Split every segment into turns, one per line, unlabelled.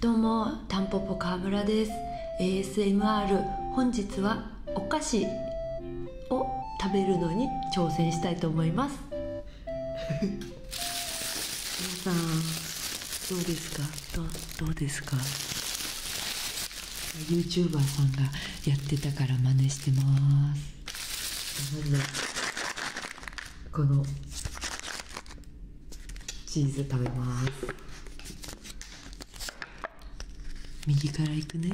どうもタンポポ川村です ASMR 本日はお菓子を食べるのに挑戦したいと思います皆さんどうですかどうですか YouTuber さんがやってたから真似してますまずはこのチーズ食べます右から行くね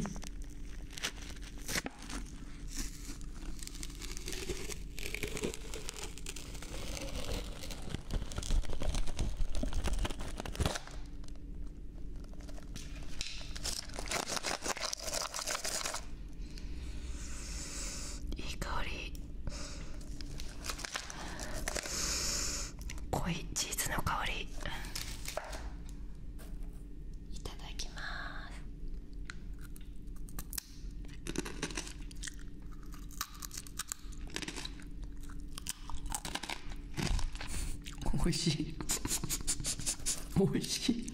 いい香り濃いチーズの香りいただきますおいしいおいしい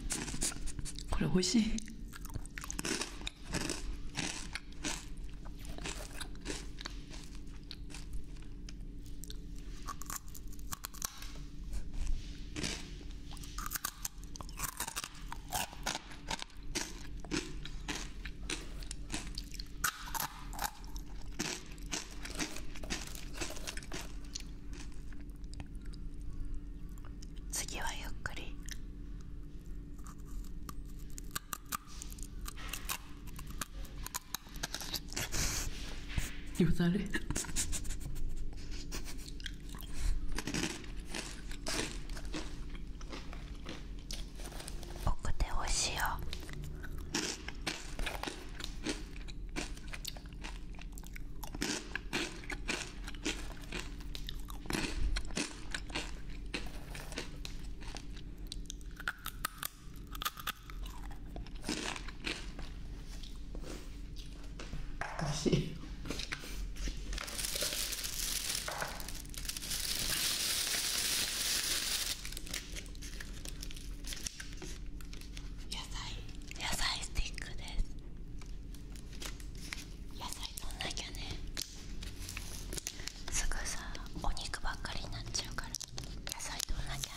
これおいしい次はゆっくりよだれ奥でおしよ 野菜野菜スティックです野菜飲んなきゃねすぐさお肉ばっかりになっちゃうから野菜となきゃ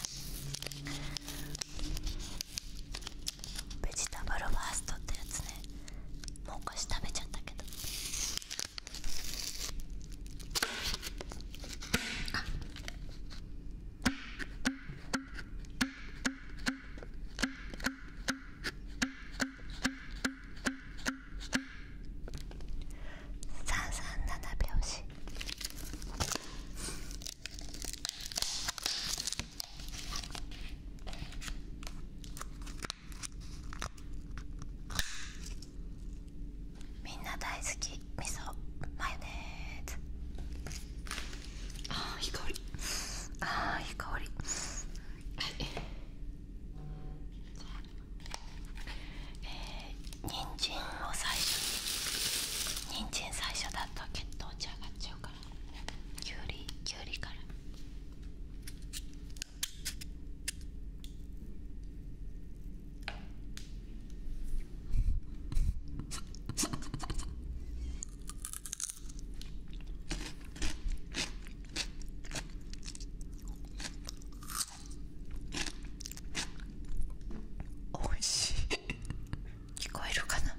ベジタブルファーストってやつねもう少し食べちゃったけどあ337拍子みんな大好き味噌マヨネーズああいい香りああいい香りはいえー、人参を最初に人参最初だと血糖値上がっちゃうからきゅうりきゅうりからおいしい聞こえるかな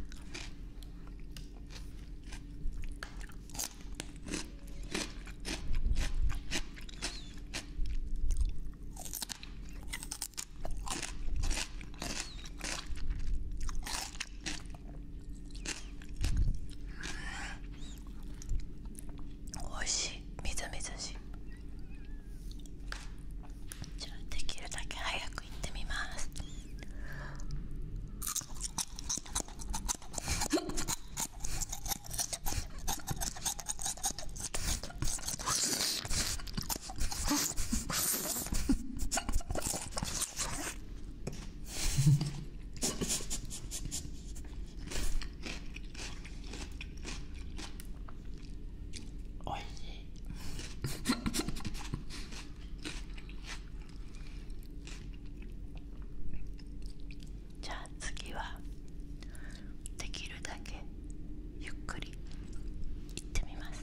おいしいみずみずしいじゃあできるだけ早く行ってみます おいしいじゃあ次はできるだけゆっくりいってみます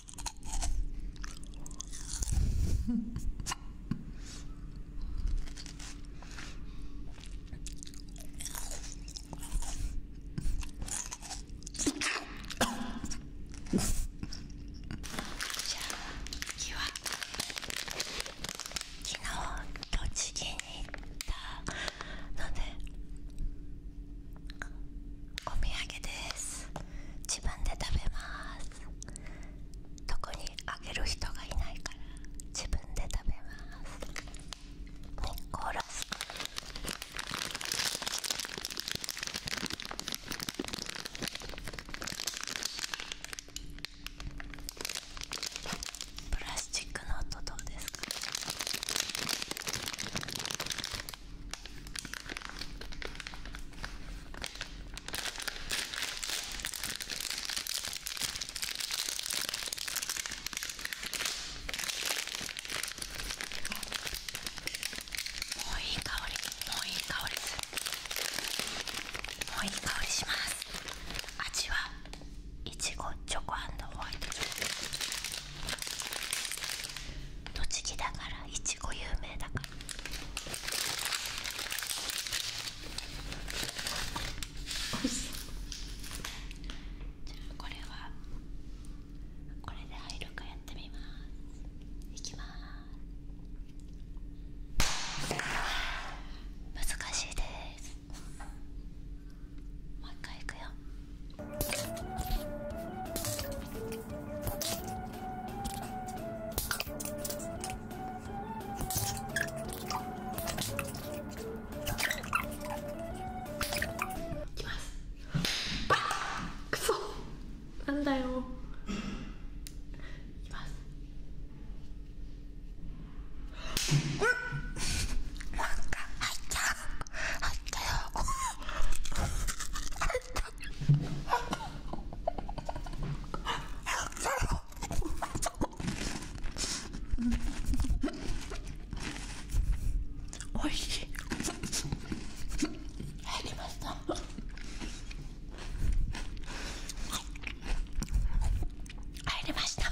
じゃあ次は昨日栃木に行ったのでお土産です自分で食べます特にあげる人がいないから自分で食べます日光ラスクプラスチックのトどうですかもういい香りもういい香りもういい香りします味はいちごチョコホイト栃木だからいちちご有名だからじゃあこれはこれで入るかやってみますいきます難しいですもう一回いくよなんだよ。いきます。なんか入っちゃう。入ったよ。おいしい入りました入りました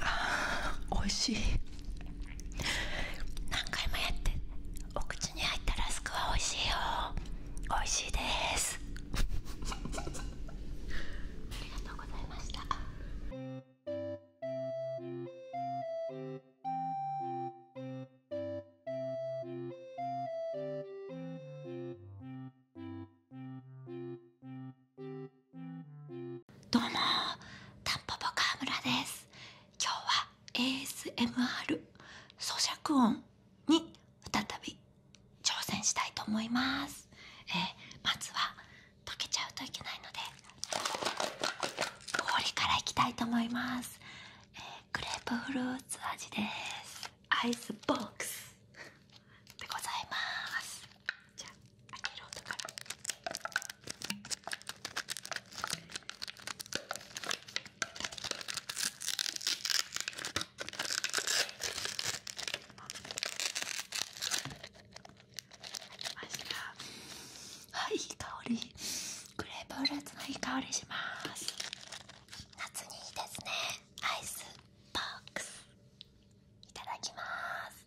あおいしい何回もやってお口に入ったラスクは美味しいよ美味しいですありがとうございましたどうもタンポポ川村です今日は ASMR 咀嚼音に再び挑戦したいと思いますえまずは溶けちゃうといけないので氷からいきたいと思います、えグレープフルーツ味ですアイスボックスでございますじゃ開ける音からい香りグレープフルの香りします夏にいいですねアイスボックスいただきます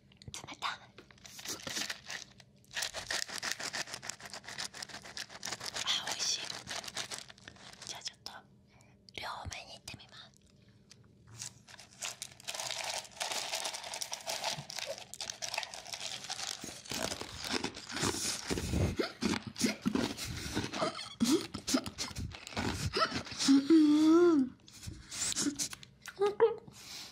冷たあ美味しいじゃあちょっと両面にいってみますうん。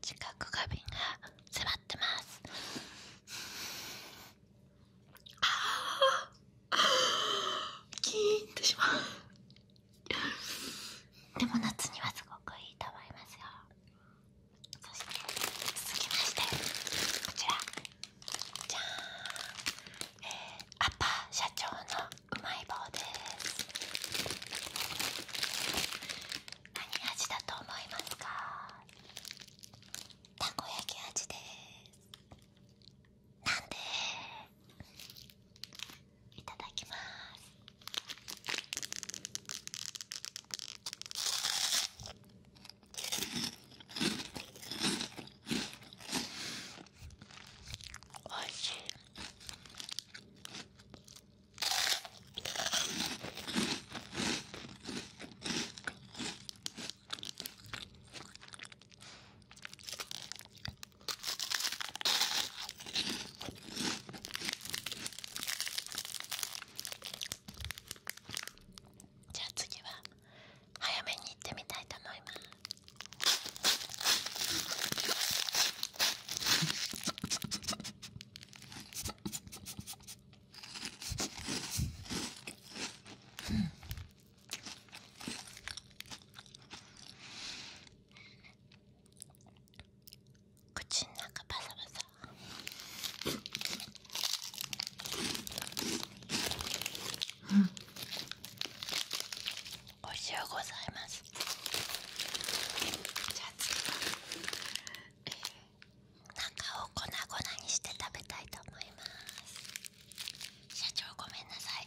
近くが瓶が迫ってますああキーンとしまうでも夏にはすごくいいと思いますよそして続きましてこちらじゃん、えー、アッパー社長のうまい棒です何味だと思いますかたこ焼き味ですなんでいただきますおいしいじゃあ次は早めに行ってみたいと思います。口の中バサバサ。お味しゅうございますじゃあ次は、中を粉々にして食べたいと思います社長ごめんなさい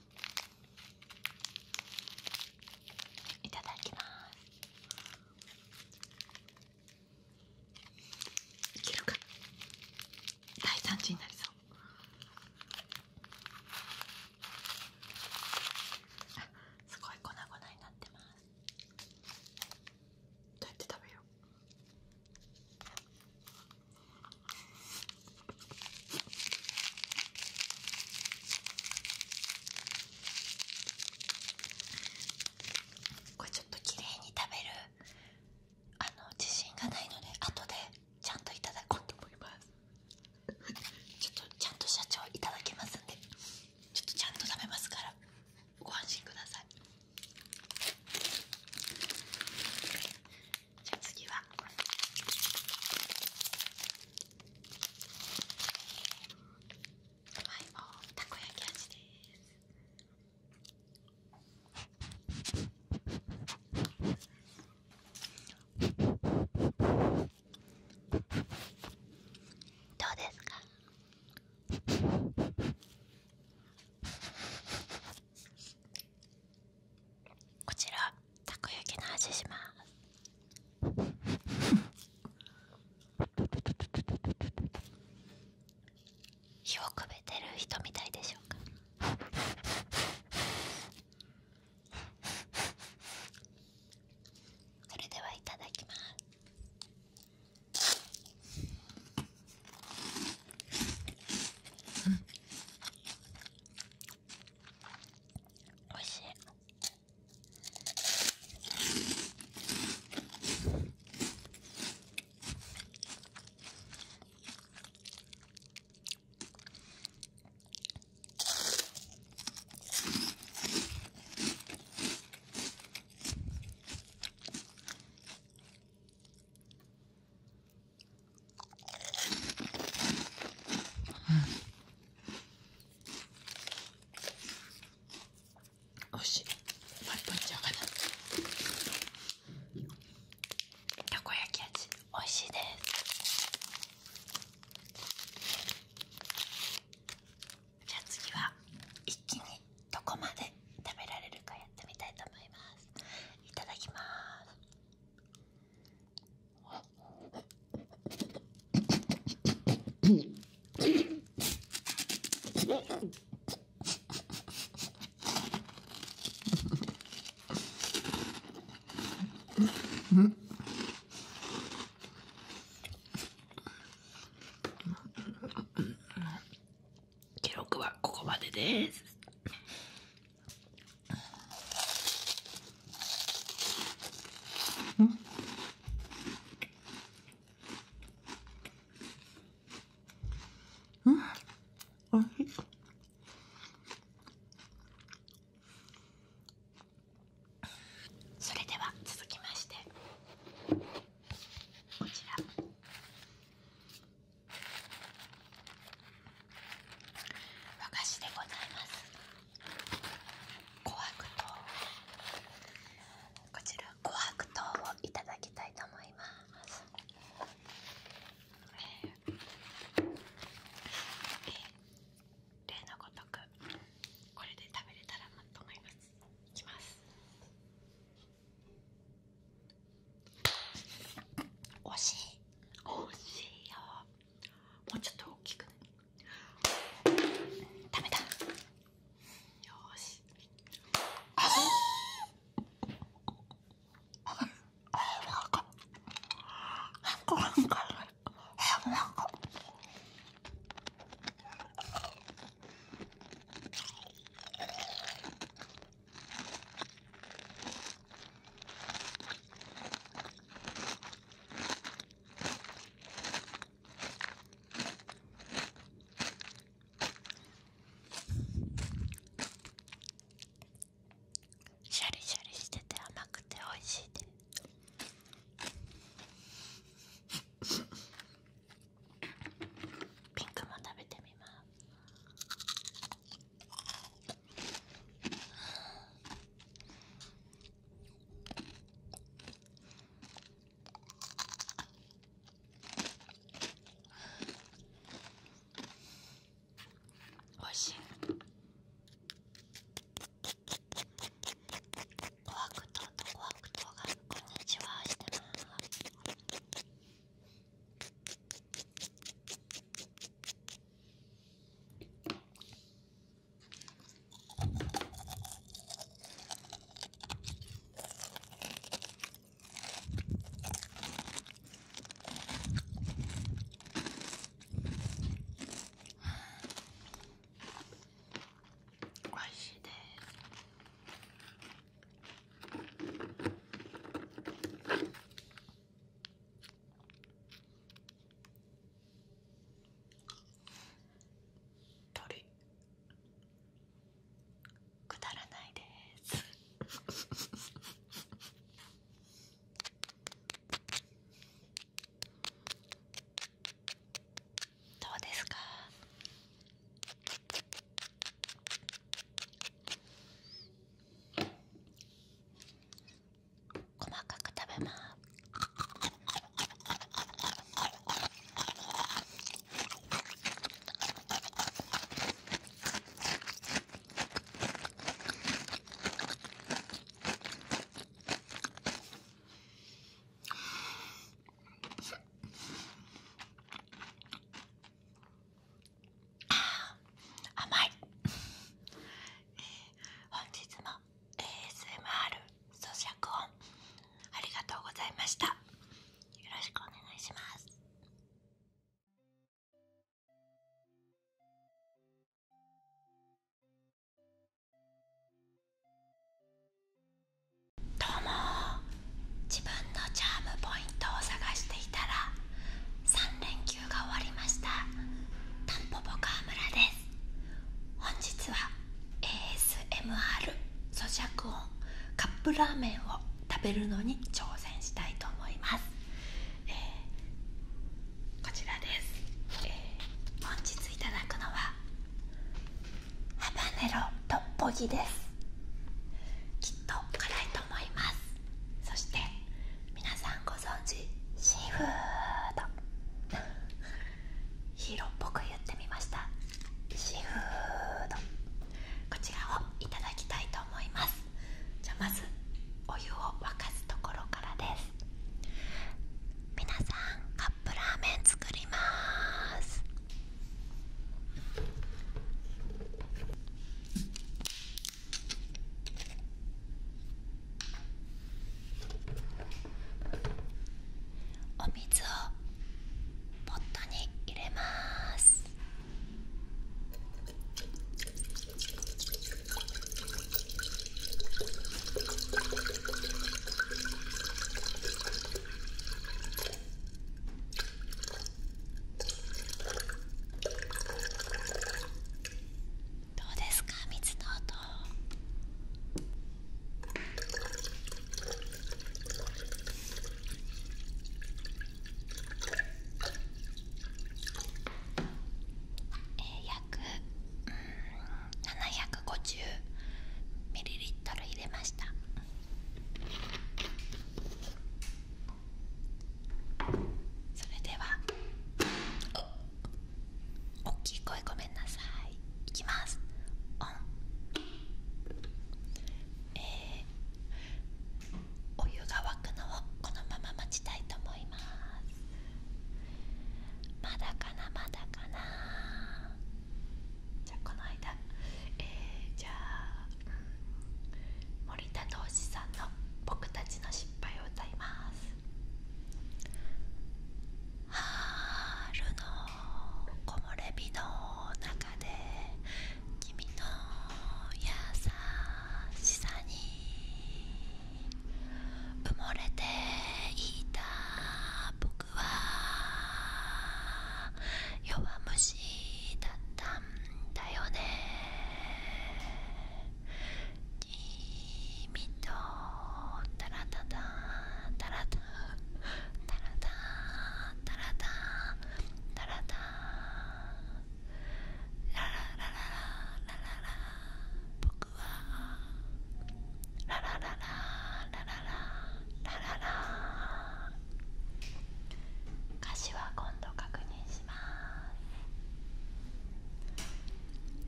いただきますいけるか大惨事になりそうすごい粉々になってますどうやって食べようこれちょっと綺麗に食べるあの自信がないので後でちゃんといただこうと思いますちょっとちゃんと社長いただきますんでちょっとちゃんと食べますからご安心くださいじゃあ次はい棒たこ焼き味ですどうですかこちらたこ焼きの味します。火をくべてる人みたいでしょうかそれではいただきます美味しいおいしいパリパリちゃうかなたこ焼き味おいしいですじゃあ次は一気にどこまで食べられるかやってみたいと思いますいただきます記録はここまでです。それでは続きましてこちら和菓子でございます琥珀糖こちら琥珀糖をいただきたいと思います、えーえー、例のごとくこれで食べれたらなと思いますいきます惜しい惜しいよもうちょっと大きくね シャリシャリしてて甘くて美味しいです。ピンクも食べてみます。おいしいコアクトとコアクトがこんにちはしてますおいしいです。鳥くだらないです。どうですか細かく食べます。あ甘い本日も ASMR 咀嚼音ありがとうございましたよろしくお願いしますどうも自分のチャームポイントを探していたら3連休が終わりましたたんぽぽ川村です本日は ASMR 咀嚼音カップラーメンを食べるのに挑戦したいと思います、こちらです、本日いただくのはハバネロトッポギですきっと辛いと思いますそして皆さんご存知シーフード ヒーローっぽく言ってみましたシーフードこちらをいただきたいと思いますじゃまずお湯を沸かすところからです皆さんカップラーメン作りますお水をポットに入れますどうですか水の音えー、約750ミリリットル入れました。それでは大きい声ごめんなさいいきますオンえお湯が沸くのをこのまま待ちたいと思いますまだかなまだかなじゃあこの間えじゃあ、森田同士さんの「僕たちの失敗」を歌います春の木漏れ日の中で君の優しさに埋もれていた僕は弱虫だったんだよね君とタラタタタラタタラタタラタタラタラララララララ僕はララララララララララ歌詞は今度確認します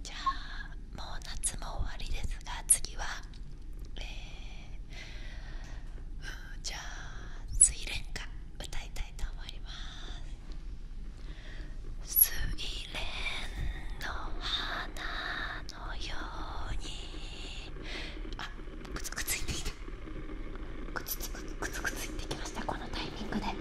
じゃあもう夏も終わりですが次はえじゃあ「睡蓮花」歌いたいと思います「睡蓮の花のように」あくつくついてきたくつくつくつくついてきましたこのタイミングで。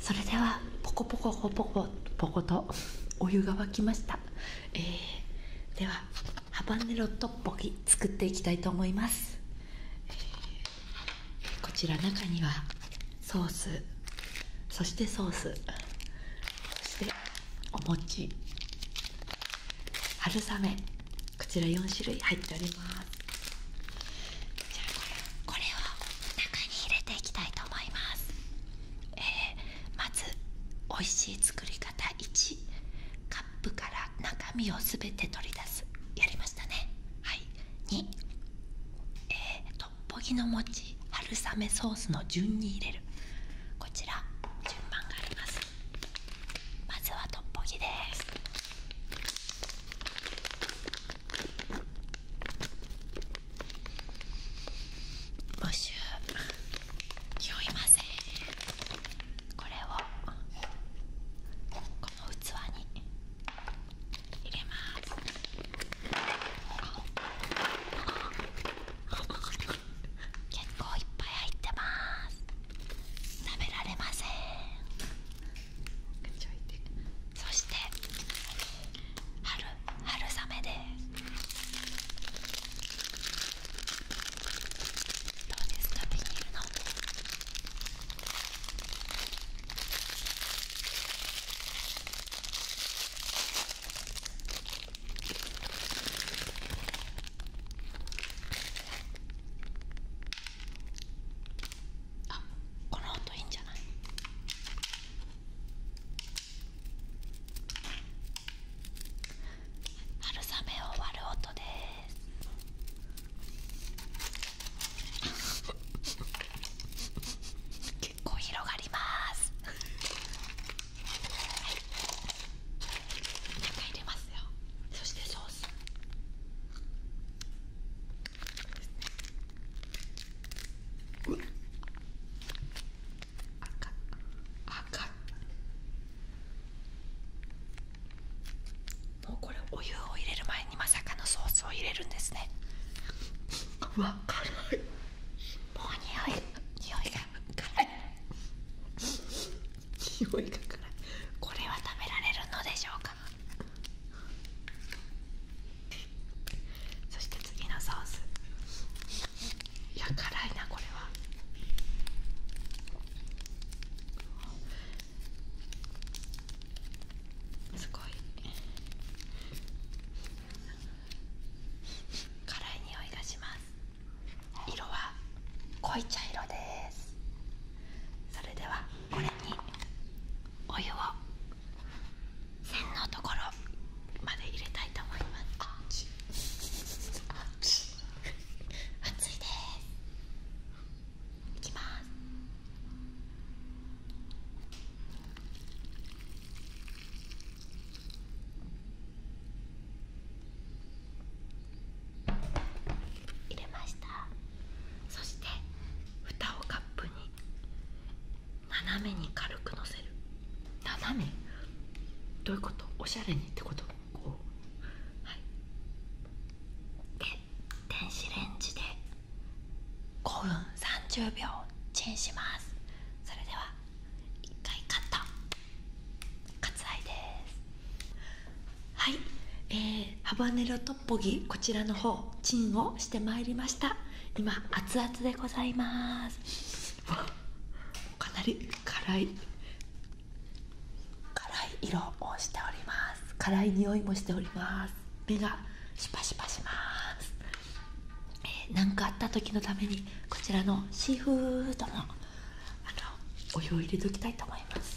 それではポコポコポコポコポコとお湯が沸きました、えー、ではハバネロトッポギ作っていきたいと思います、えこちら中にはソースそしてソースそしてお餅春雨こちら4種類入っておりますじゃあこれこ中に入れていきたいと思います、えまず美味しい作り方1カップから中身をすて取り出すやりましたねはい2えトッポギの餅春雨ソースの順に入れるこちら順番がありますまずはトッポギです募集酔いませんこれをこの器に入れます結構いっぱい入ってます食べられませんそして春春雨ですどうですかビニールのあこの音いいんじゃない春雨を割る音です。結構広がります。はい、中入れますよ。そしてソース赤赤もうこれお湯を入れる前にまさかのソースを入れるんですねわかるもう匂い匂いが辛い匂いがこれは食べられるのでしょうかそして次のソースいや辛いなこれはすごい辛い匂いがします色は濃い茶色ですそれではこれにお湯を線のところまで入れたいと思います熱いですいきます入れましたそして蓋をカップに斜めに軽くのせる斜めどういうことおしゃれにってことこうはいで電子レンジで5分30秒チンしますそれでは1回カット割愛ですはい、えハバネロトッポギこちらの方チンをしてまいりました今熱々でございますかなり辛い辛い色をしております辛い匂いもしております目がシパシパします何、えー、かあった時のためにこちらのシーフードもあのお湯を入れておきたいと思います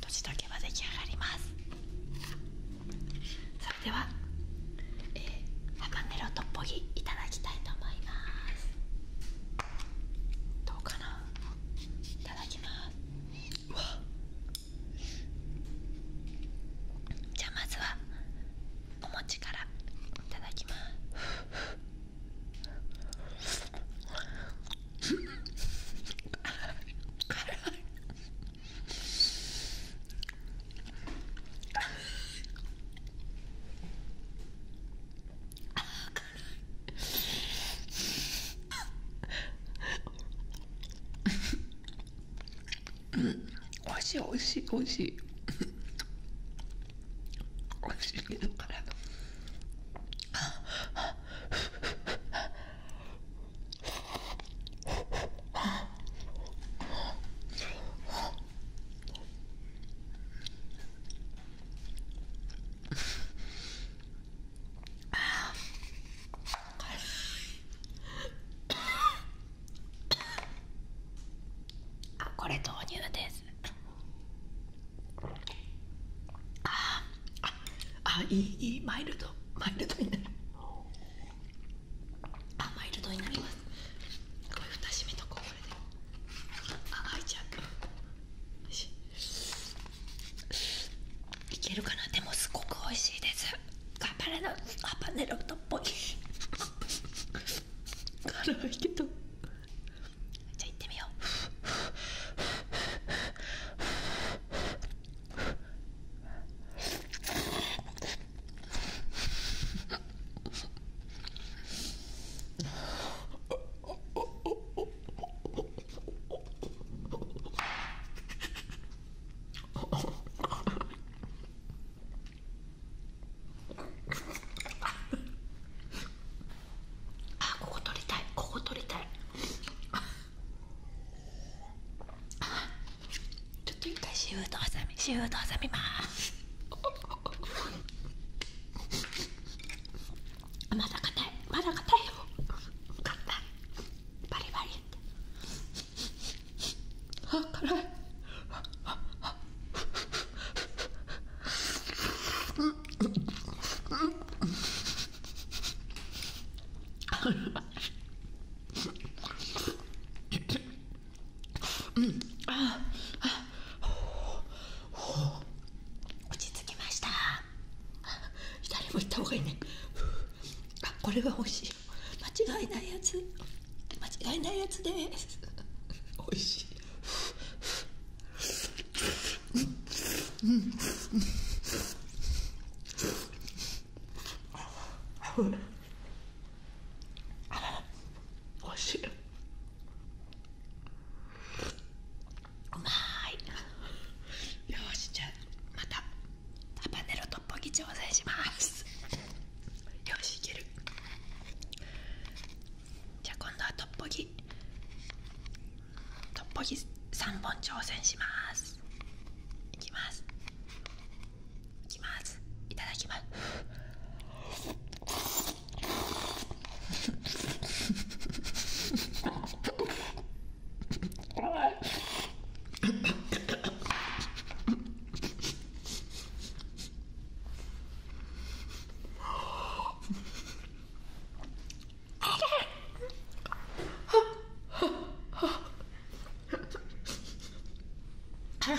年だは出来上がりますそれでは、えー、ハバロトポギいただきたいと思いますどうかないただきますじゃあまずはお餅からいただきますおいしいおいしいおいしいおいしいけど辛い。あこれ豆乳ですあああいいいいマイルドマイルドになるあマイルドになりますこれ蓋閉めとこうこれでああ、いちゃうよしいけるかなでもすごく美味しいです頑張れなハパネロットっぽい辛いけどじゃあ行ってみようあここ取りたいここ取りたいあ、ちょっと一回シューと挟みシューと挟みまーすまだ硬いまだ硬いよ硬いバリバリあ辛い うん、ああほう落ち着きました左も行った方がいいねあこれは美味しい間違いないやつ間違いないやつです美味しいおいしいうまいよしじゃあまたハバネロトッポギ挑戦しますよしいけるじゃ今度はトッポギトッポギ3本挑戦しますいきますいきますいただきます あっ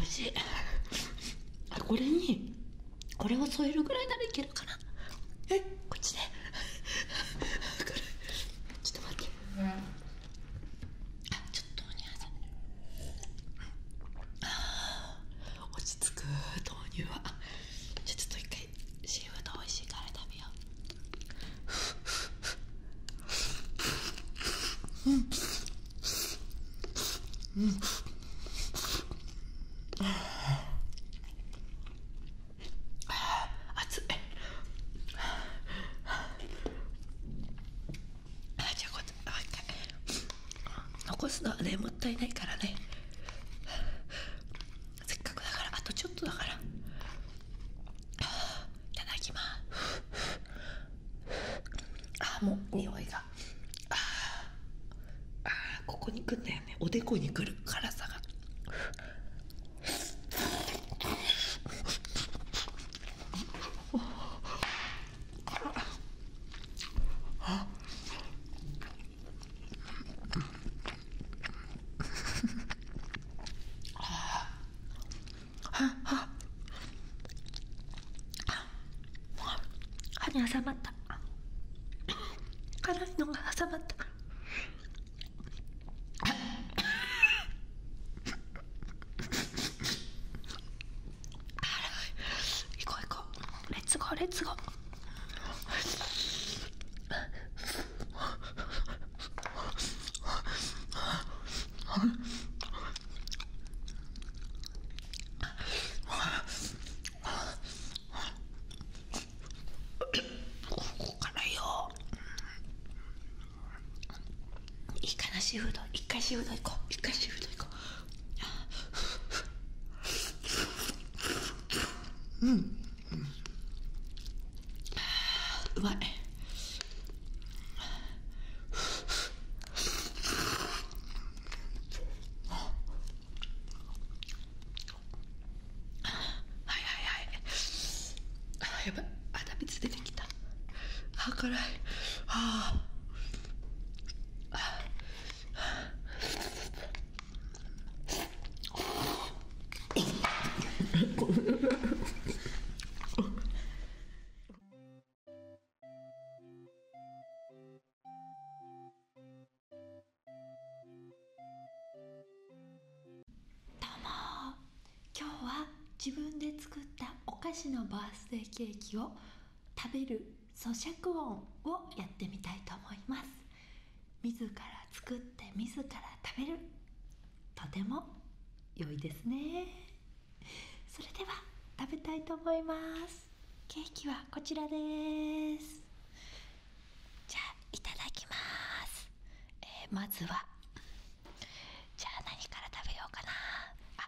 味しいこれにこれを添えるぐらいならいけるかなえこっちでちょっと待って、うん、あちょっとお豆乳挟んであ落ち着く豆乳はちょっと一回シーフード美味しいから食べよううんうん熱いあじゃあこっち残すのはねもったいないからねせっかくだからあとちょっとだからいただきますああ、もう匂いがああここに来んだよよおでこにくる辛さが挟まっった辛いのが挟まったから辛い 行こう行こうレッツゴーレッツゴーここからよいいかなシーフード一回シーフード行こう一回シーフード行こううん、うん、うまいはいはいはいあやばい鼻つ出てきたああ。辛いああどうも今日は自分で作ったお菓子のバースデーケーキを食べる咀嚼音をやってみたいと思います自ら作って自ら食べるとても良いですねそれでは食べたいと思いますケーキはこちらですじゃあいただきます、えまずはじゃあ何から食べようかなあ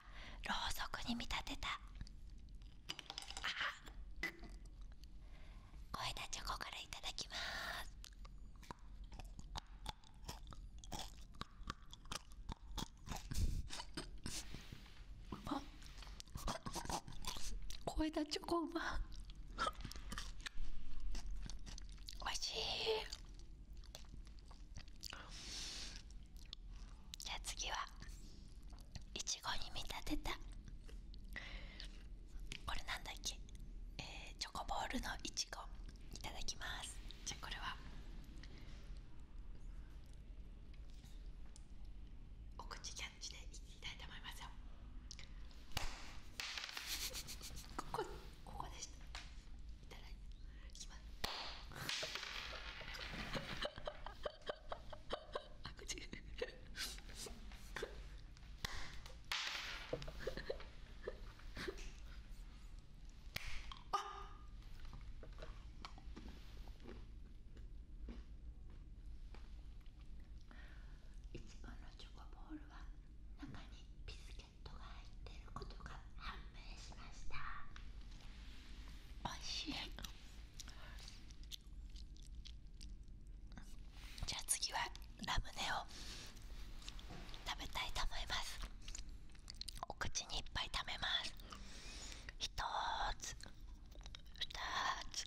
ろうそくに見立てたあ小枝チョコからいただきますあ超えたチョコうまおいしいじゃあ次はいちごに見立てたこれなんだっけえー、チョコボールのいちごいただきますじゃあこれはお口キャッチでいきたいと思いますよここここでしたいただきますああっいちごのチョコボールは中にビスケットが入っていることが判明しましたおいしいじゃあ次はラムネを食べたいと思いますお口にいっぱい食べます1つ2つ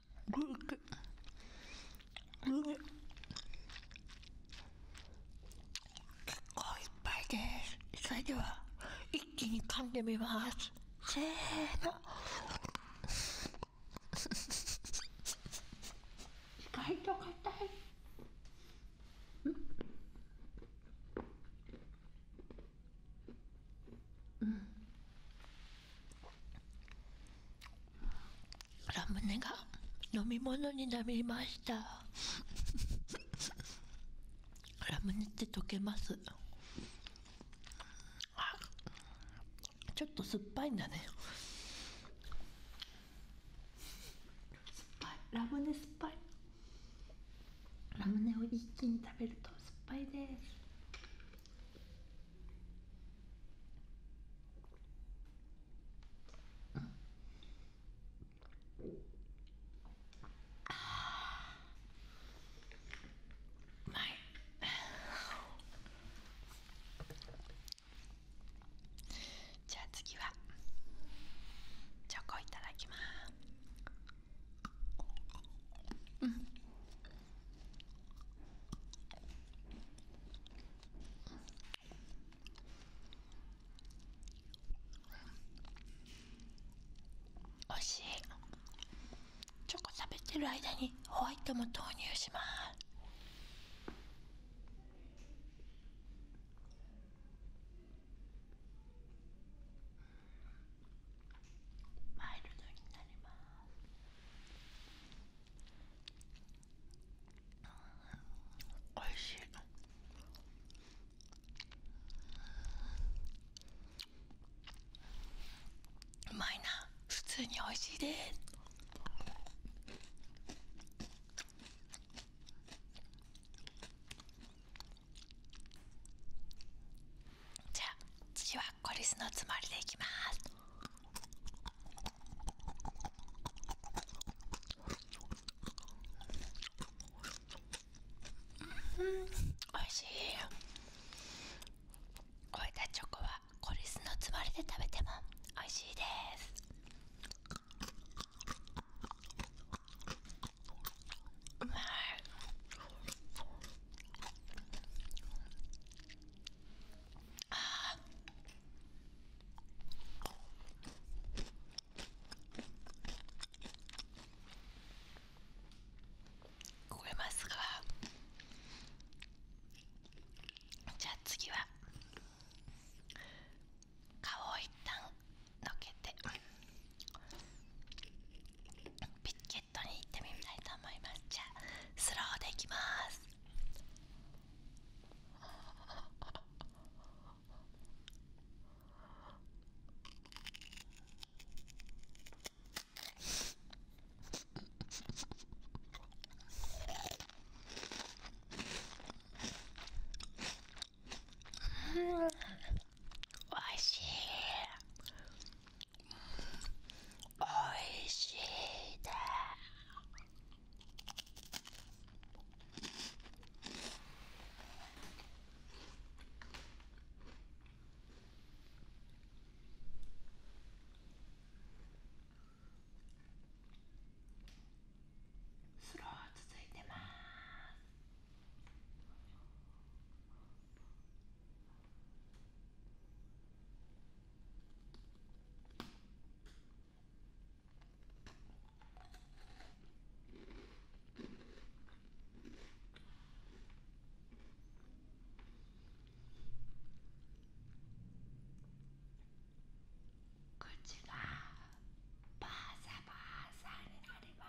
結構いっぱいです。それでは、一気に噛んでみます。せーの。意外と硬い。うん。ラムネが飲み物になりましたラムネって溶けますちょっと酸っぱいんだね酸っぱいラムネ酸っぱいラムネを一気に食べると酸っぱいですい。じゃあ次はチョコいただきます、うんおいしいチョコ食べてる間にホワイトも投入しますマイルドになりますおいしいうまいな普通に美味しいですじゃあ次はコリスのつもりでいきますうんおいしい置いたチョコはコリスのつもりで食べてもおいしいですうまいああ。これますかじゃあ次は顔を一旦のけてピッケッに行ってみたいと思いますじゃあスローでいきますうんおいしいおいしいです。スロー続いてます口がバーサバーサになります。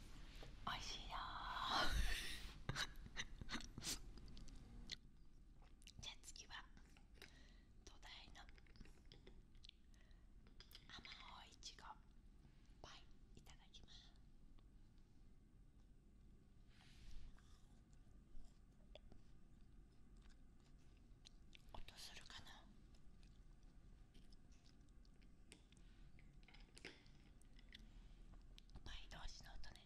おいしいよ じゃあ次は土台のあ甘いいちごはい、いただきます音するかな倍同士の音ね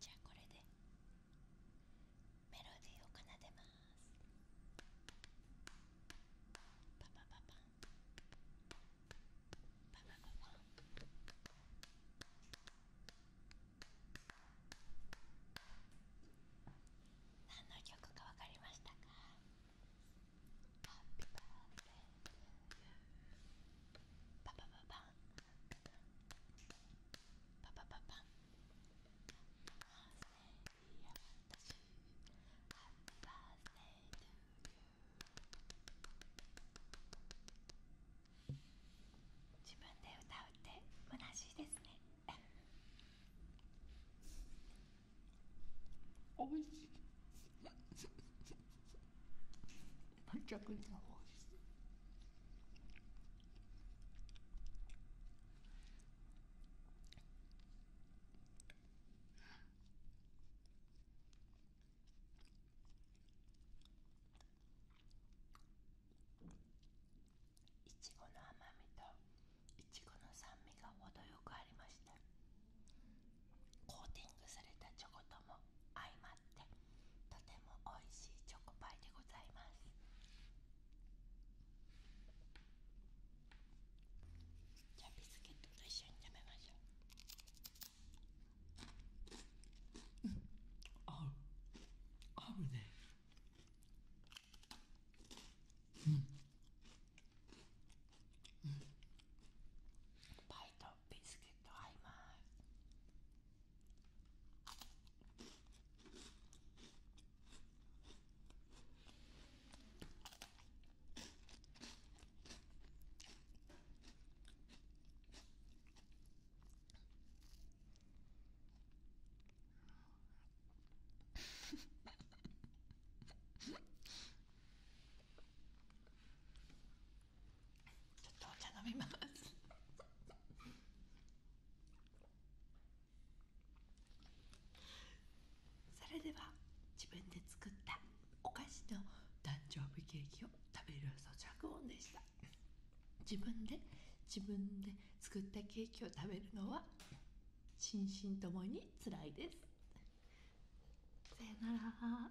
じゃあこれでメロディーを奏でますパパパパンパパパパ何の曲かわかりましたか自分で歌うって虚しいですねおいしいいちごの甘みといちごの酸味が程よくありましたコーティングされたチョコとも相まってとても美味しいチョコパイでございますじゃあビスケットと一緒に食べましょうパイとビスケット合いますちょっとお茶飲みます。それでは自分で作ったお菓子の誕生日ケーキを食べる咀嚼音でした自分で自分で作ったケーキを食べるのは心身ともにつらいですさよなら